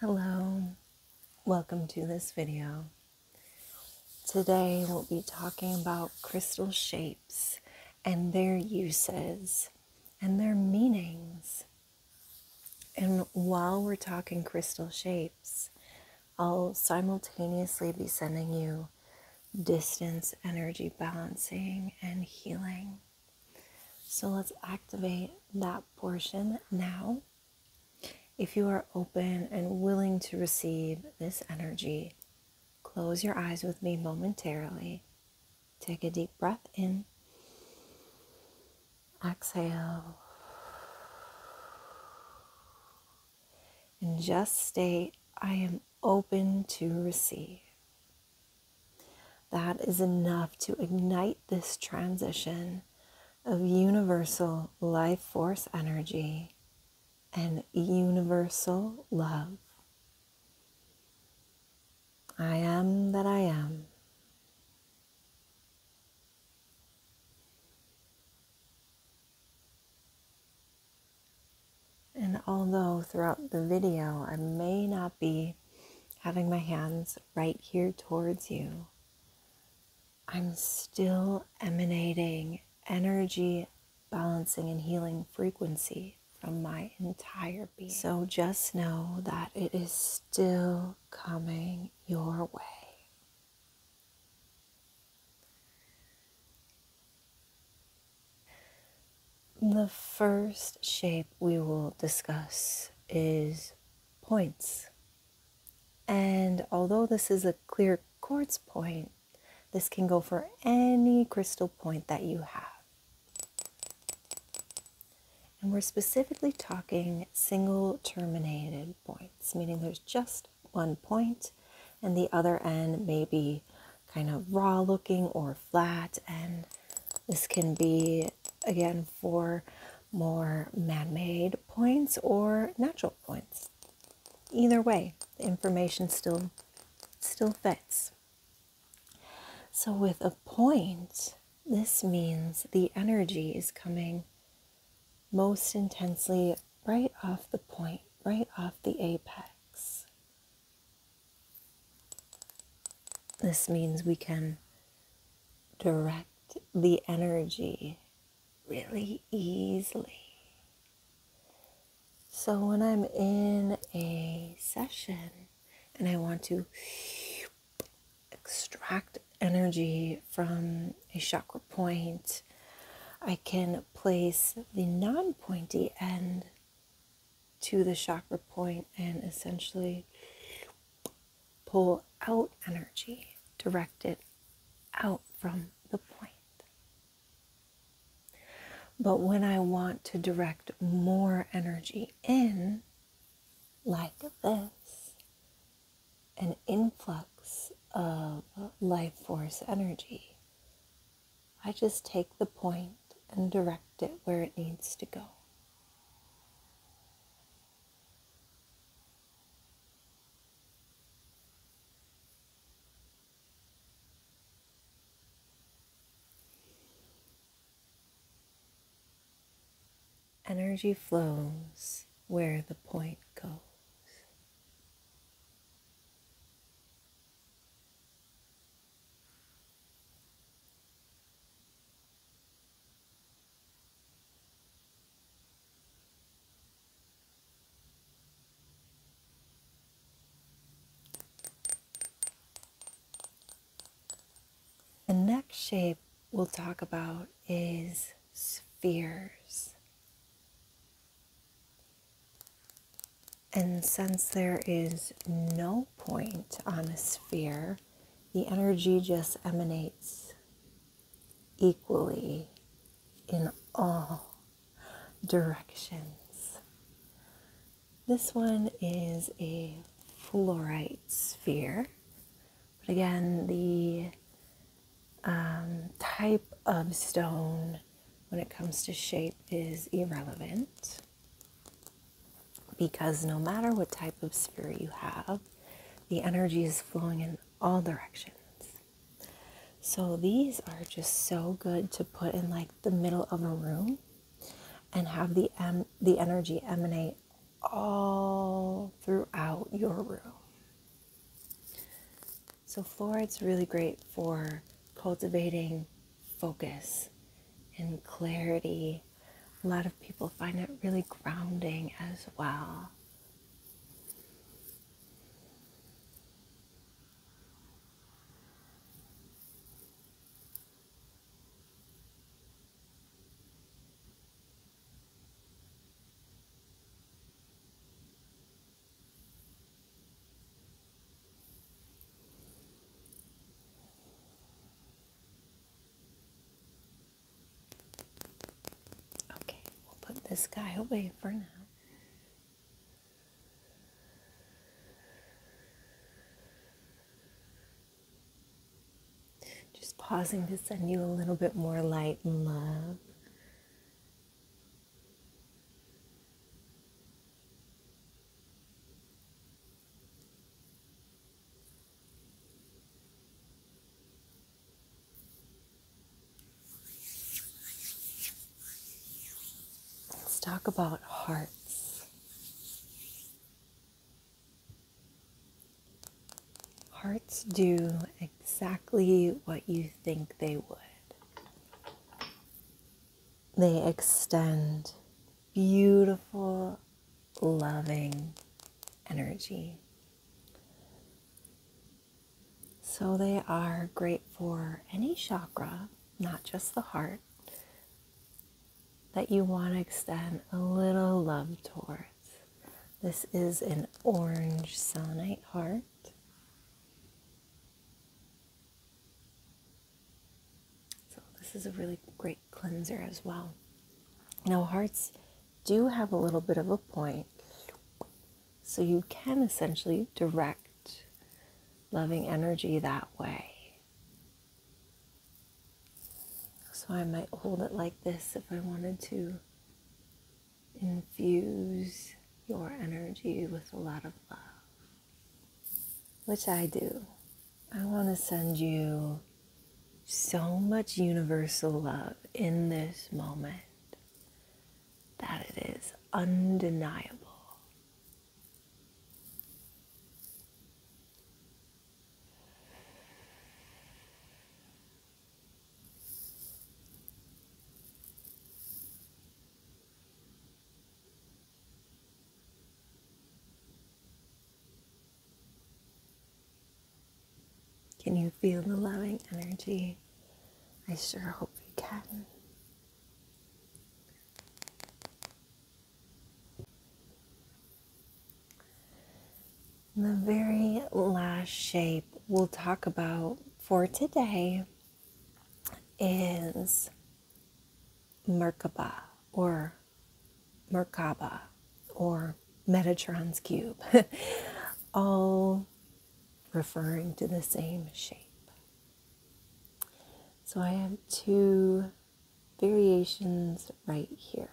Hello, welcome to this video. Today we'll be talking about crystal shapes and their uses and their meanings. And while we're talking crystal shapes, I'll simultaneously be sending you distance energy balancing and healing. So let's activate that portion now. If you are open and willing to receive this energy, close your eyes with me momentarily. Take a deep breath in. Exhale. And just state, I am open to receive. That is enough to ignite this transition of universal life force energy and universal love. I am that I am. And although throughout the video I may not be having my hands right here towards you, I'm still emanating energy, balancing, and healing frequency from my entire being. So just know that it is still coming your way. The first shape we will discuss is points. And although this is a clear quartz point, this can go for any crystal point that you have. And we're specifically talking single terminated points, meaning there's just one point and the other end may be kind of raw looking or flat and this can be again for more man-made points or natural points either way the information still still fits so with a point this means the energy is coming most intensely right off the point right off the apex this means we can direct the energy really easily. So when I'm in a session and I want to extract energy from a chakra point, I can place the non pointy end to the chakra point and essentially pull out energy, direct it out from the point. But when I want to direct more energy in, like this, an influx of life force energy I just take the point and direct it where it needs to go. Energy flows where the point goes. The next shape we'll talk about is spheres. And since there is no point on a sphere, the energy just emanates equally in all directions. This one is a fluorite sphere, but again, the um, type of stone when it comes to shape is irrelevant because no matter what type of sphere you have, the energy is flowing in all directions. So these are just so good to put in like the middle of a room and have the the energy emanate all throughout your room. So, fluoride's really great for cultivating focus and clarity. A lot of people find it really grounding as well. Okay, we'll put this guy away for now. Just pausing to send you a little bit more light and love. Let's talk about hearts. Hearts do exactly what you think they would. They extend beautiful, loving energy. So they are great for any chakra, not just the heart, that you want to extend a little love towards. This is an orange selenite heart. So, this is a really great cleanser as well. Now, hearts do have a little bit of a point, so you can essentially direct loving energy that way. So, I might hold it like this if I wanted to infuse your energy with a lot of love, which I do. I want to send you so much universal love in this moment that it is undeniable. Can you feel the loving energy? I sure hope you can. The very last shape we'll talk about for today is Merkaba or Merkaba or Metatron's cube, all referring to the same shape. So I have two variations right here.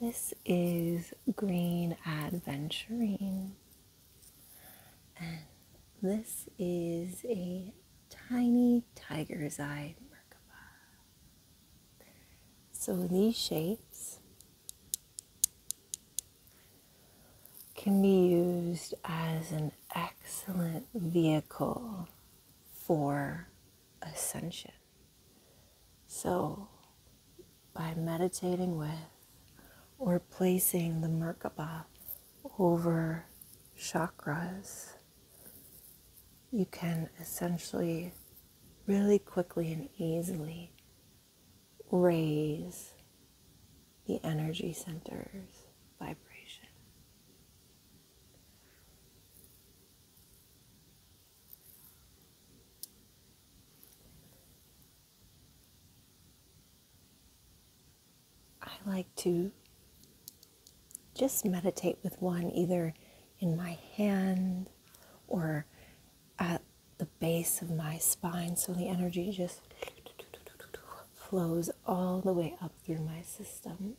This is green adventuring, and this is a tiny tiger's eye So these shapes can be used as an excellent vehicle for ascension. So, by meditating with or placing the Merkaba over chakras, you can essentially really quickly and easily raise the energy center's vibration. I like to just meditate with one either in my hand or at the base of my spine so the energy just flows all the way up through my system.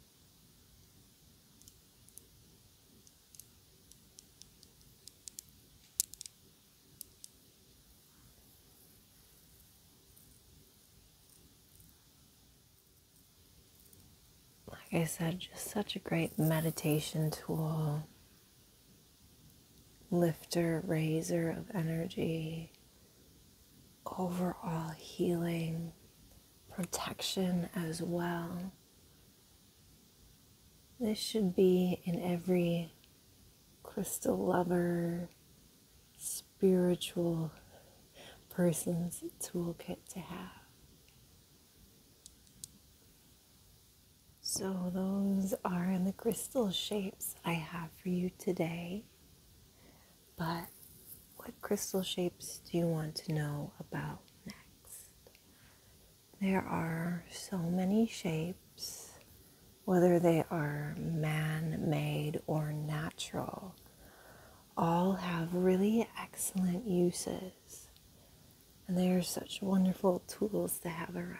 Like I said, just such a great meditation tool, lifter, raiser of energy, overall healing protection as well. This should be in every crystal lover, spiritual person's toolkit to have. So, those are the crystal shapes I have for you today. But what crystal shapes do you want to know about next? There are so many shapes, whether they are man made or natural, all have really excellent uses. And they are such wonderful tools to have around.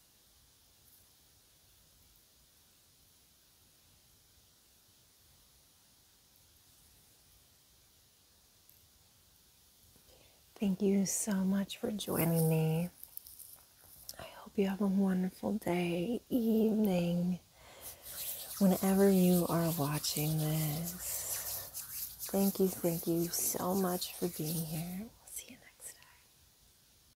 Thank you so much for joining me. I hope you have a wonderful day, evening, whenever you are watching this. Thank you, thank you so much for being here. We'll see you next time.